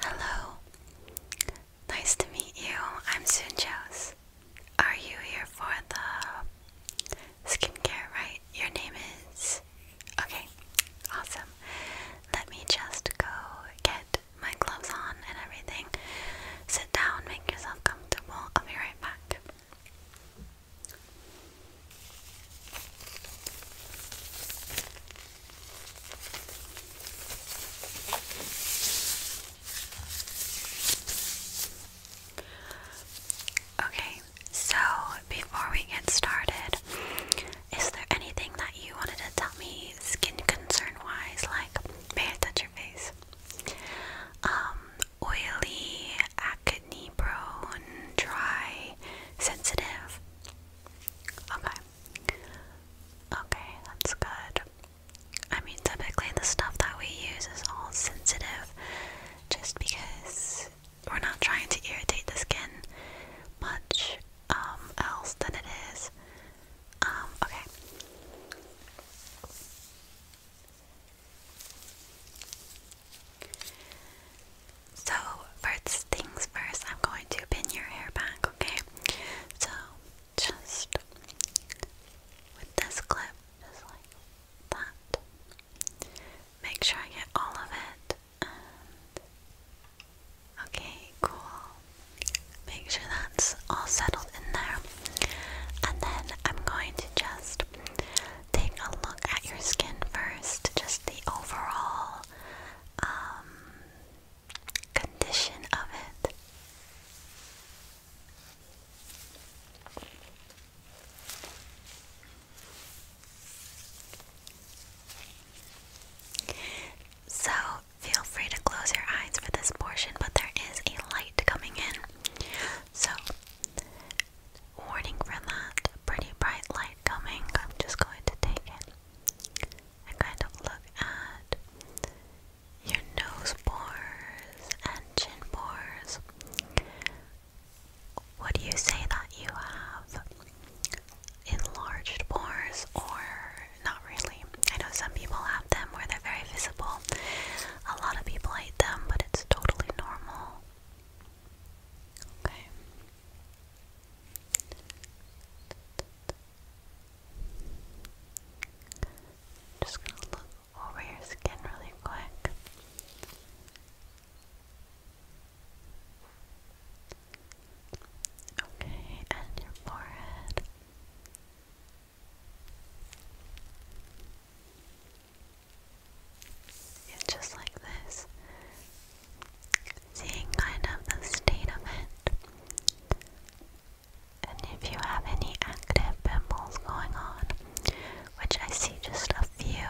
Hello. Nice to meet you. I'm Sunjos. Are you here for the skincare, right? Your name is. Okay, awesome. Let me just go get my gloves on and everything. Sit down, make yourself comfortable. I'll be right back. Okay, so before we get started, is there anything that you wanted to tell me skin concern wise? Like, may I touch your face? Um, oily, acne, kidney prone, dry, sensitive. Okay. Okay, that's good. I mean, typically the stuff that we use is all sensitive just because we're not trying to irritate the skin much um, else than it is. Um, okay. So, first things first, I'm going to pin your hair back, okay? So, just with this clip, just like that. Make sure I get all of it. okay, cool. Make sure that's all settled in there. And then I'm going to just take a look at your skin first, just the overall um, condition of it. So, feel free to close your eyes for this portion, but there is a light coming in. So, warning for that pretty bright light coming. I'm just going to take it and kind of look at your nose pores and chin pores. Would you say that you have enlarged pores or not really? I know some people have them where they're very visible. A lot of people hate them, but it's totally normal. Okay. Just gonna look over your skin really quick. Okay, and your forehead. just like this, seeing kind of the state of it. And if you have any active pimples going on, which I see just a few.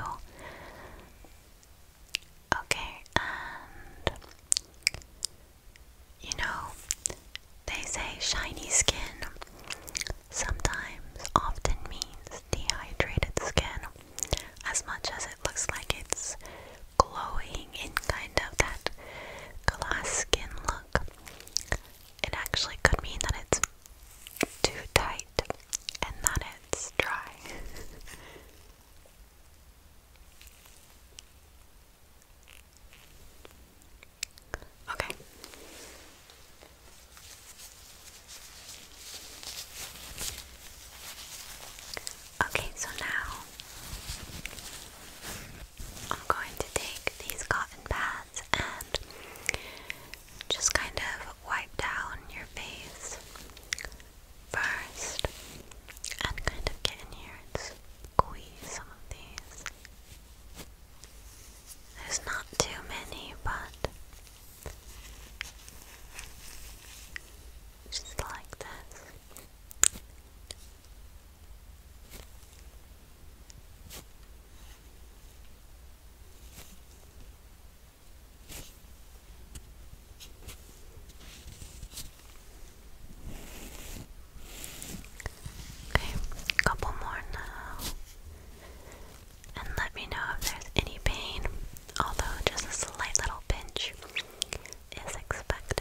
Okay, and you know, they say shiny skin sometimes often means dehydrated skin as much as it looks like it's glowing in kind of that glass skin look. It actually could mean that it's too tight and that it's dry. okay. Okay, so now I'm going to take these cotton pads and just kind of wipe down your face first and kind of get in here and squeeze some of these. There's not too many, but just like this. Okay, a couple more now. And let me know if there's any pain although just a slight little pinch is expected.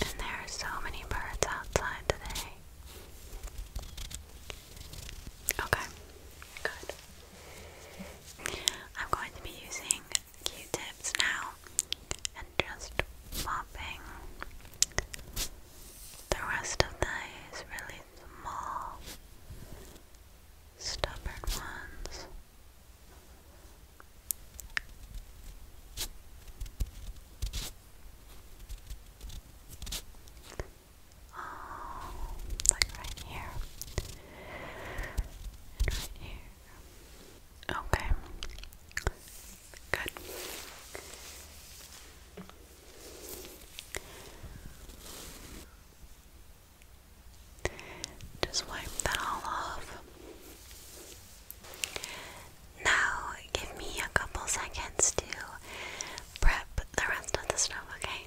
And there are so many birds outside today. Okay, good. I'm going to be using Q-tips now and just popping the rest of the eye is really small, stubborn ones. Oh, like right here. And right here. Okay. Good. Just wipe that all off. Now, give me a couple seconds to prep the rest of the stuff, okay?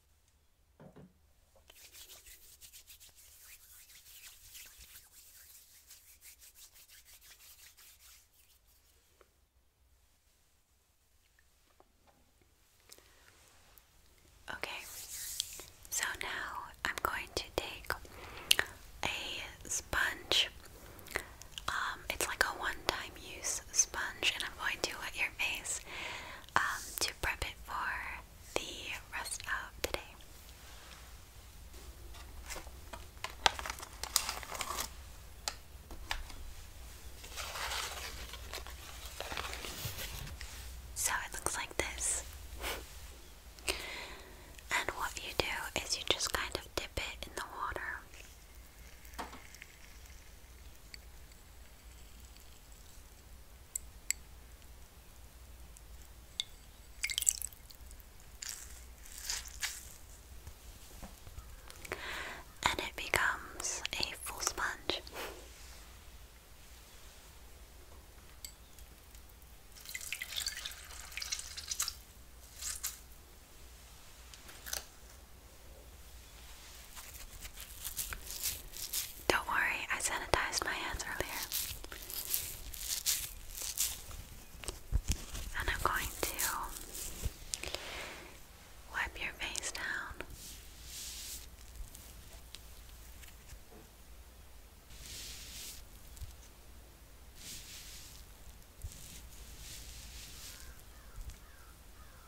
Okay, so now I'm going to take a sponge. Um, it's like a one time use sponge, and I'm going to at your face. Um, to prep it for the rest of the day. So it looks like this. and what you do is you just kind of dip it in the water and it becomes a full sponge. Don't worry, I sanitized my hands earlier. And I'm going to wipe your face down.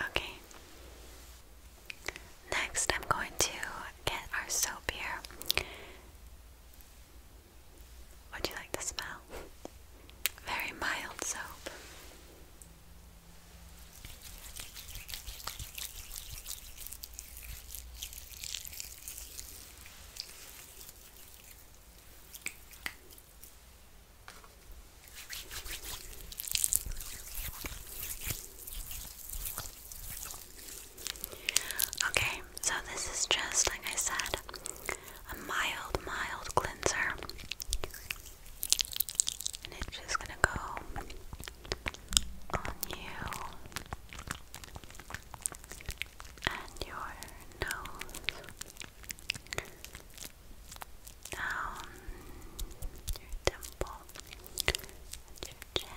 Okay. Next, I'm going to get our soap here. Would you like the smell? Very mild soap. Okay, so this is just like I said, a mild, mild cleanser and it's just gonna go on you and your nose down your temple your chin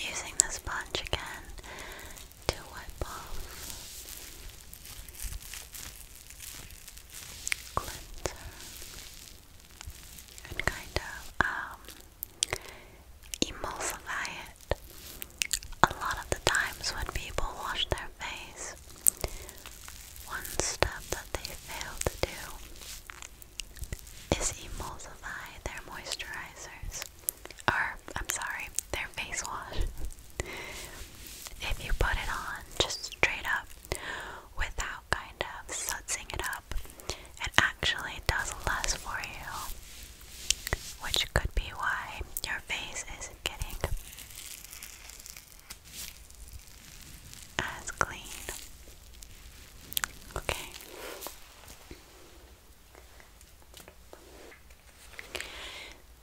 Using the sponge again to wipe off cleanser and kind of um Emulsify it. A lot of the times when people wash their face, one step that they fail to do is emulsify their moisturizers. Or, I'm sorry, their face wash. if you put it on just straight up without kind of sudsing it up, it actually does less for you which could be why your face isn't getting as clean. Okay.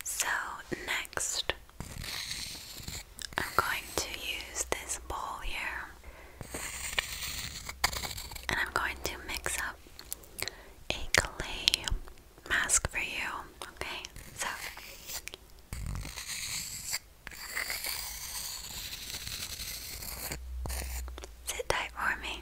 So, next, I'm going to use this bowl here and I'm going to mix up a clay mask for you. Okay, so sit tight for me.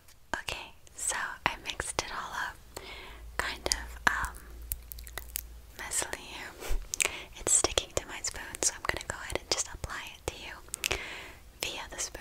Okay, so I mixed it all up. Kind of um here. It's sticking to my spoon, so I'm gonna go ahead and just apply it to you via the spoon.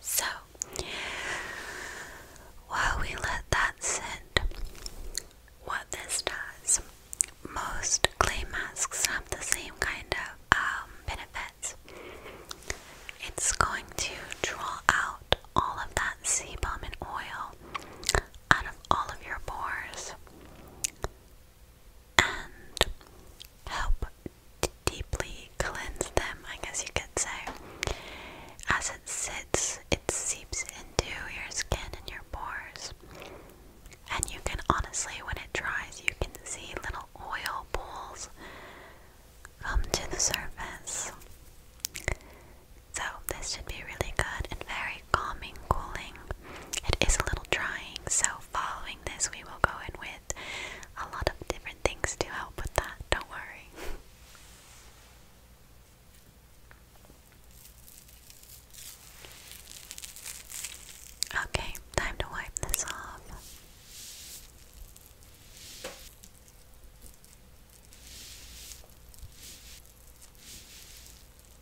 So, while we let that sit, what this does, most clay masks have the same kind of um, benefits. It's going to draw out all of that sebum and oil out of all of your pores and help deeply cleanse them, I guess you could say. As it sits, it seeps into your skin and your pores. And you can honestly, when it dries, you can see little oil pools come to the surface. So, this should be really good and very calming, cooling. It is a little drying, so following this, we will go in with a lot of different things to help with that. Don't worry. Okay, time to wipe this off.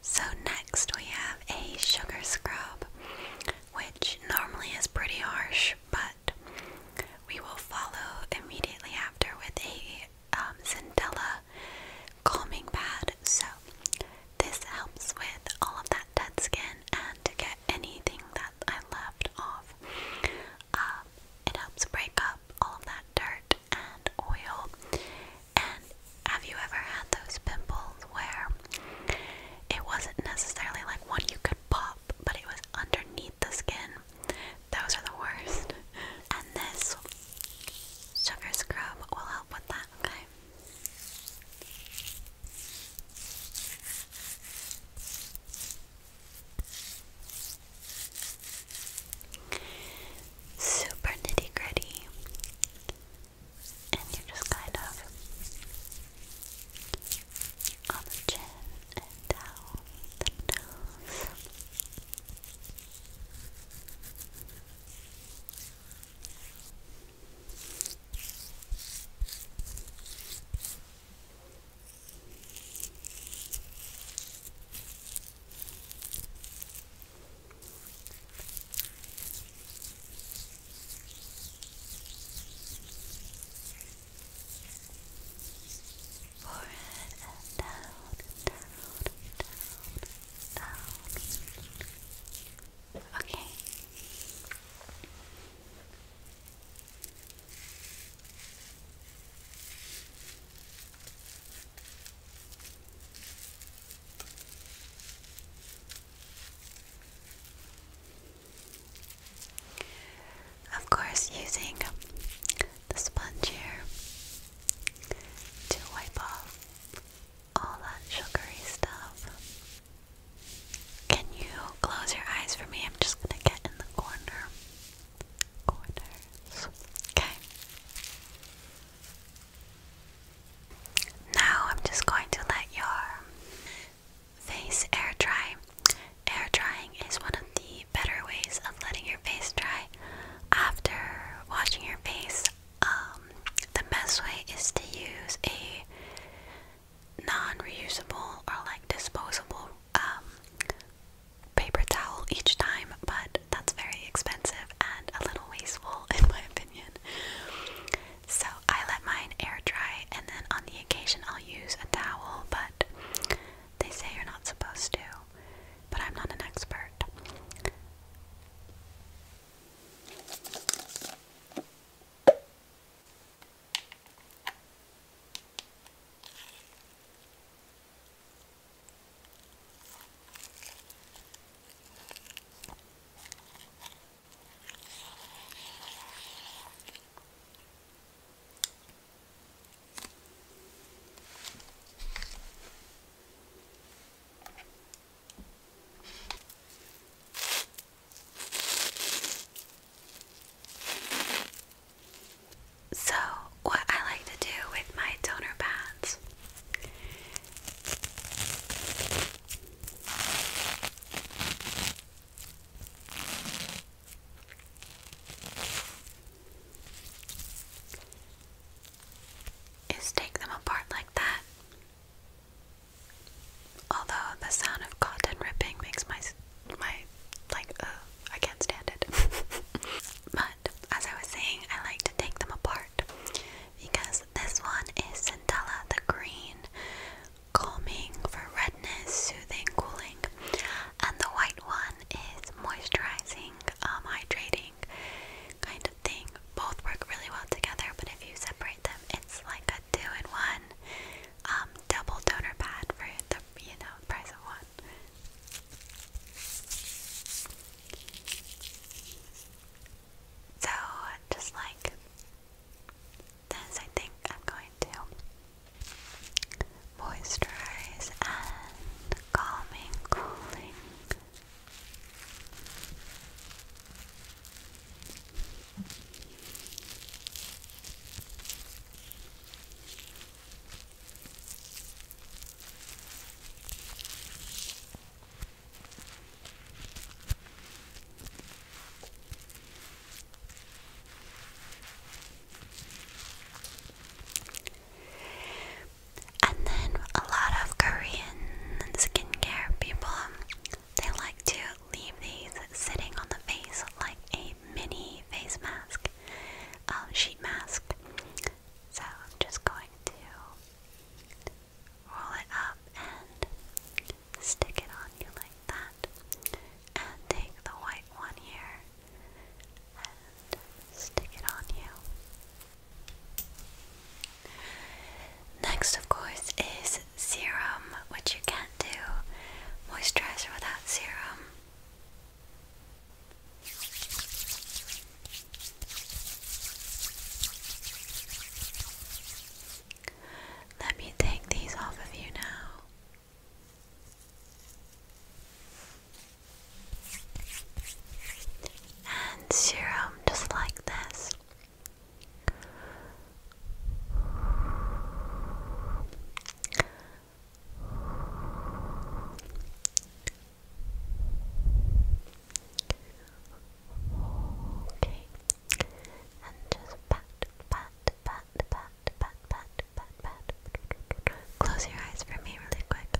so, next we have a sugar scrub, which normally is pretty harsh, but we will follow immediately after with a um, calming pad. So, this helps with all of that dead skin and to get anything that I left off. Um, it helps break up all of that dirt and oil and have you ever had those pimples where it wasn't necessarily like one you could pop, but it was underneath the skin? Those are the worst. And this sugar scrub will help with that, okay? Super nitty gritty, and you just kind of on the chin and down the nose. Forehead and down, down, down, down. Okay. Of course, using the sponge here to wipe off all that sugary stuff. Can you close your eyes for me? I'm just gonna get in the corner. Corners. Okay. Now I'm just going to let your face air dry. Air drying is one of the better ways of letting your face dry after washing your face. Um, the best way is to use a non-reusable or like disposable um, paper towel each time, but that's very expensive and a little wasteful in my opinion. So I let mine air dry, and then on the occasion I'll use a towel, but they say you're not supposed to. But I'm not an expert. So, what I like to do with my toner pads is take them apart like that. Although the sound of cotton ripping makes my my like uh, I can't stand it. but as I was saying, I like to take them apart because this one is Centella the green, calming for redness, soothing, cooling. And the white one is moisturizing, um, hydrating kind of thing. Both work really well together, but if you separate them, it's like a two in one um, double toner pad for the you know price of one. So, just like this, I think I'm going to moisturize and calming, cooling. And then a lot of Korean skincare people they like to leave these sitting on the face like a mini face mask, um, sheet mask. So I'm just going to roll it up and stick it on you like that. And take the white one here and stick it on you. Next, of course, is serum, which you can't do moisturizer without serum. Let me take these off of you now. And serum just like this. Okay. And just pat, pat, pat, pat, pat, pat, pat, pat. Close your eyes for me really quick.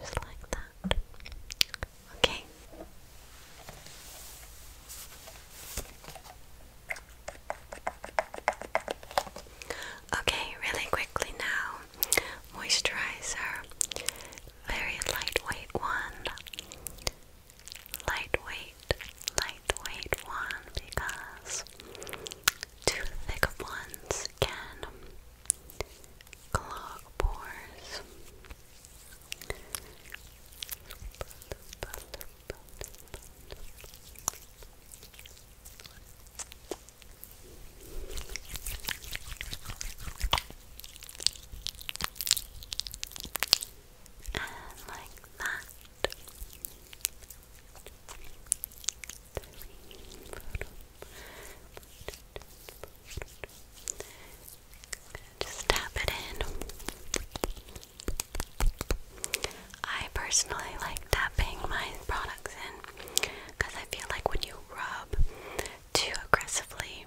Just like that. Okay. Okay, really quickly now. Moisturizer very lightweight one. Lightweight, lightweight one because too thick of ones can clog pores. And like that. Just tap it in. I personally like tapping my products in because I feel like when you rub too aggressively,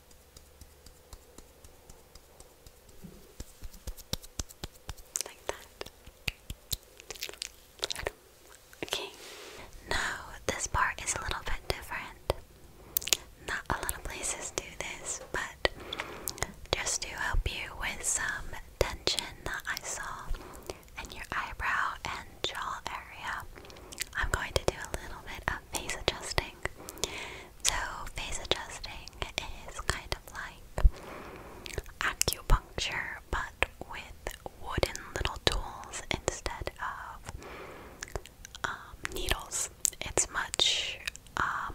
Like that. Okay. Now, this part is a little bit different. Not a lot of places do this, but just to help you with some tension that I saw in your eyebrow and jaw area, I'm going to do a little bit of face adjusting. So, face adjusting is kind of like acupuncture but with wooden little tools instead of um, needles. It's much, um,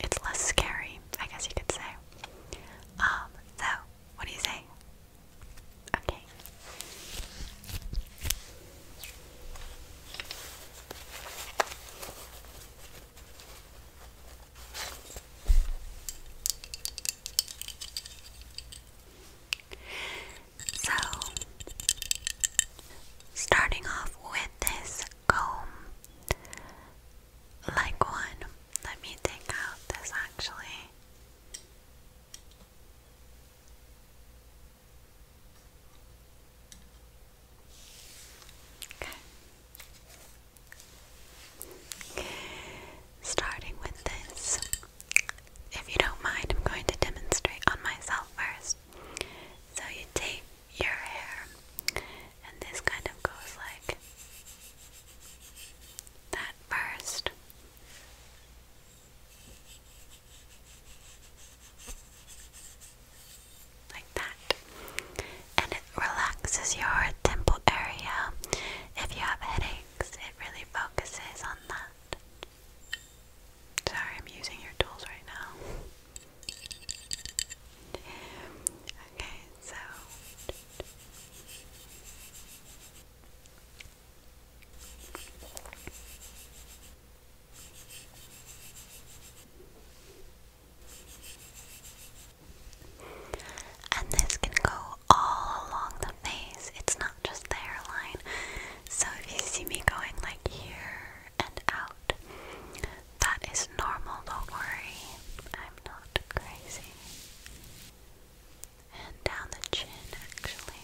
it's less scary, I guess you could say. Um, so, what do you say? Okay. So, starting off with this comb, like one, let me take out this actually. Okay. Starting with this, if you don't mind, I'm going to demonstrate on myself first. So you take your hair, and this kind of goes like that first. Like that. And it relaxes your temple area. If you have headaches, it really focuses on that. Sorry, I'm using your tools right now. Okay, so and this can go all along the face, it's not just the hairline. So if you see me going like here and out, that is normal, don't worry. I'm not crazy. And down the chin, actually.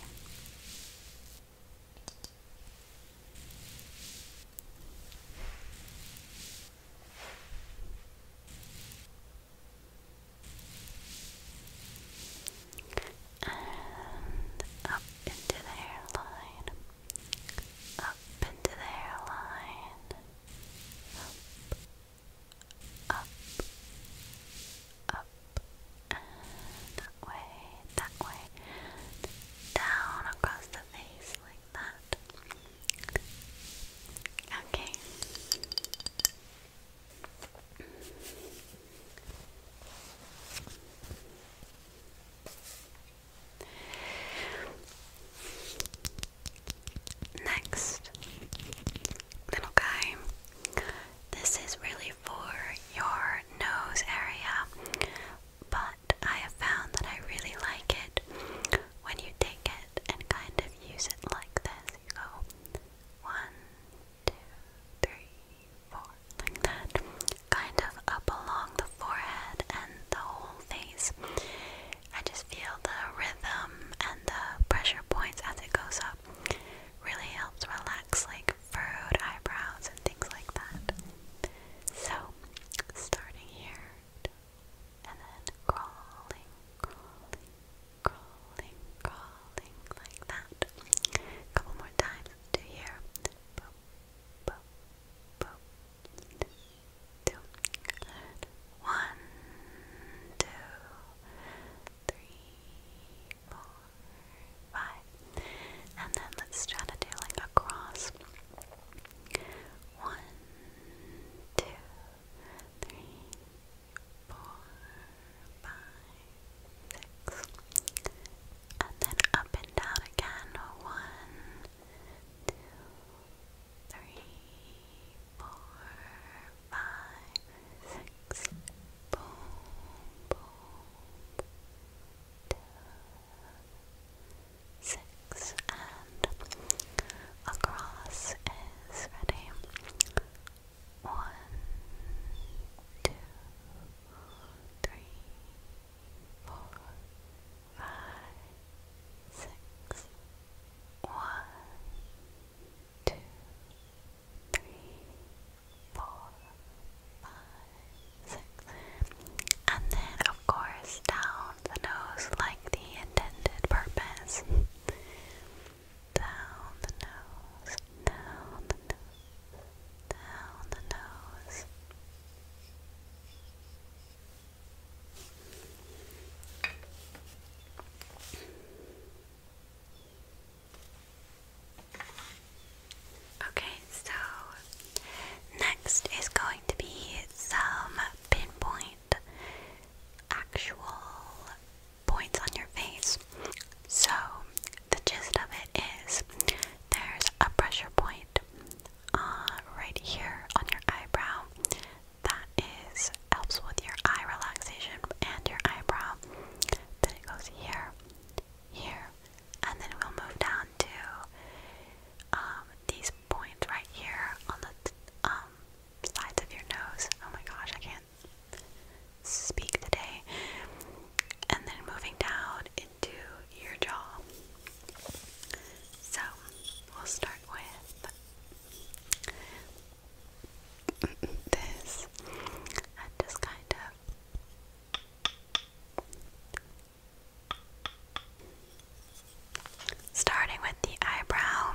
And up into the hairline, up into the hairline, up, up, up, and that way, that way, down across the face like that. Okay. Next little guy, this is really for your nose area, but I have found that I really like it when you take it and kind of use it like this. go one, two, three, four, like that, kind of up along the forehead and the whole face. I just feel the rhythm and the pressure points as it goes up really helps relax like furrowed eyebrows and things like that. So, starting here and then crawling, crawling, crawling, crawling like that. A couple more times to here. Boop, boop, boop. Two, good. One, two, three, four five. And then let's try to do like a cross. One, two, three, four, five, six. And then up and down again. One, two, three, four, five, six six, and across is ready. One, two, three, four, five, six. One, two, three, four, five, six. And then, of course, down the nose like the intended purpose. Down the nose, down the nose, down the nose. Okay, so next is going to be some pinpoint actual points on your face. So, the gist of it is there's a pressure point uh, right here on your eyebrow that is helps with your eye relaxation and your eyebrow. Then it goes here, here, and then we'll move down to um, these points right here on the um, sides of your nose. Oh my gosh, I can't speak today. And then moving down into your jaw. So we'll start with this. And just kind of Starting with the eyebrow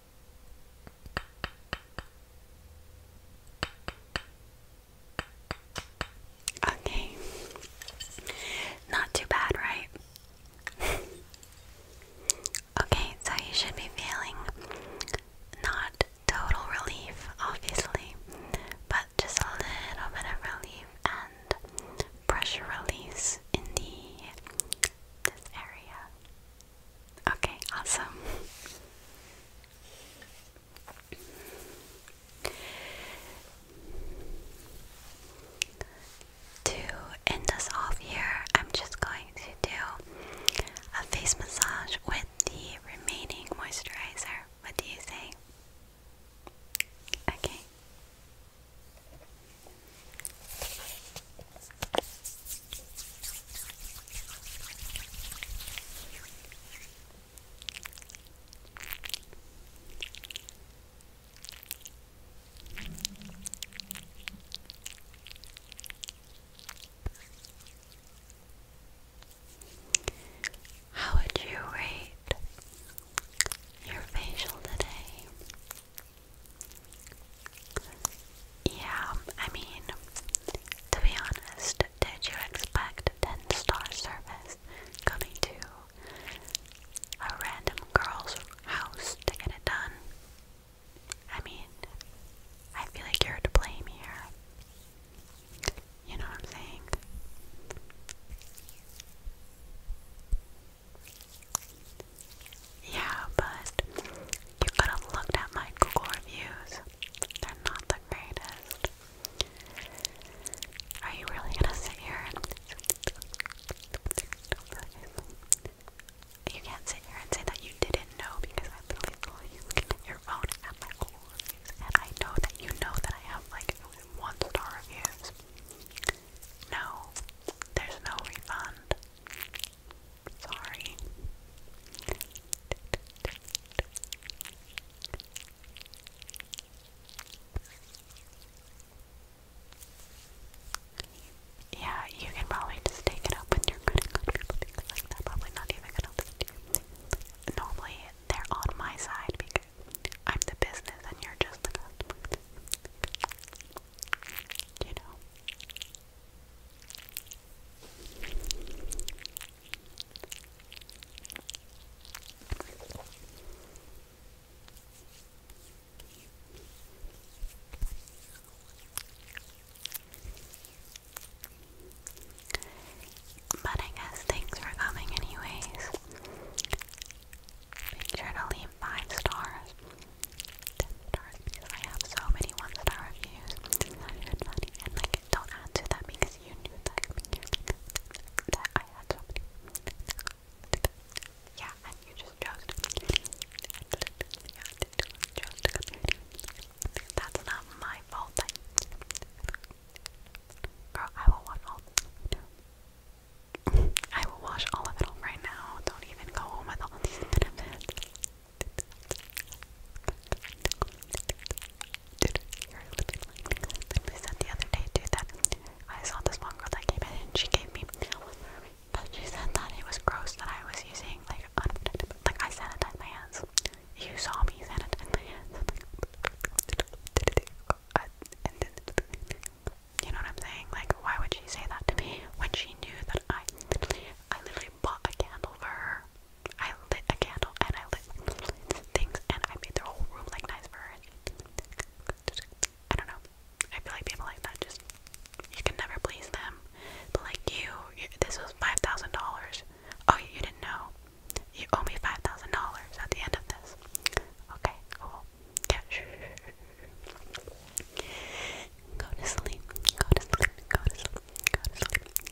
Okay. Not too bad, right? okay, so you should be feeling not total relief, obviously, but just a little bit of relief and pressure release in the this area. Okay, awesome. To end this off here, I'm just going to do a face massage with the remaining moisturizer. What do you say? Okay. How would you rate your facial today? Yeah, I mean, to be honest, did you expect 10 star service coming to a random girl's house to get it done? I mean, I feel like you're to blame here. You know what I'm saying? Yeah, but you could have looked at my reviews. They're not the greatest. Are you really gonna sit here you can't sit here and say that you didn't know because I literally saw you looking at your phone at my reviews and I know that you know that I have like one star reviews. No, there's no refund. Sorry. Yeah, you can probably just take it up with your credit card because like they probably not even gonna Normally they're on my side because I'm the business and you're just the customer. You know. But I guess thanks for coming, anyways. Make sure to leave five stars, because I have so many one star reviews. It's not And like, don't answer that because you knew that. I had so many. Yeah, and you just chose to Yeah, chose to That's not my fault. Like, girl, I will watch all. I will wash all of it off right now. Don't even go home with all these benefits. Dude, I said the other day, too, that I saw this one girl that came in and she gave me but she said that it was gross that I was using like like I sanitized my hands. You saw me sanitize You know what I'm saying? Like, why would she say that to me when she knew that I, I literally bought a candle for her? I lit a candle and I lit things and I made their whole room like nice for her. I don't know. I feel like people like that just you can never please them. But like you, this was five thousand dollars. Oh, you didn't know. You owe me five thousand dollars at the end of this. Okay, cool. Yeah. Go to sleep. Go to sleep. Go to sleep. Go to sleep.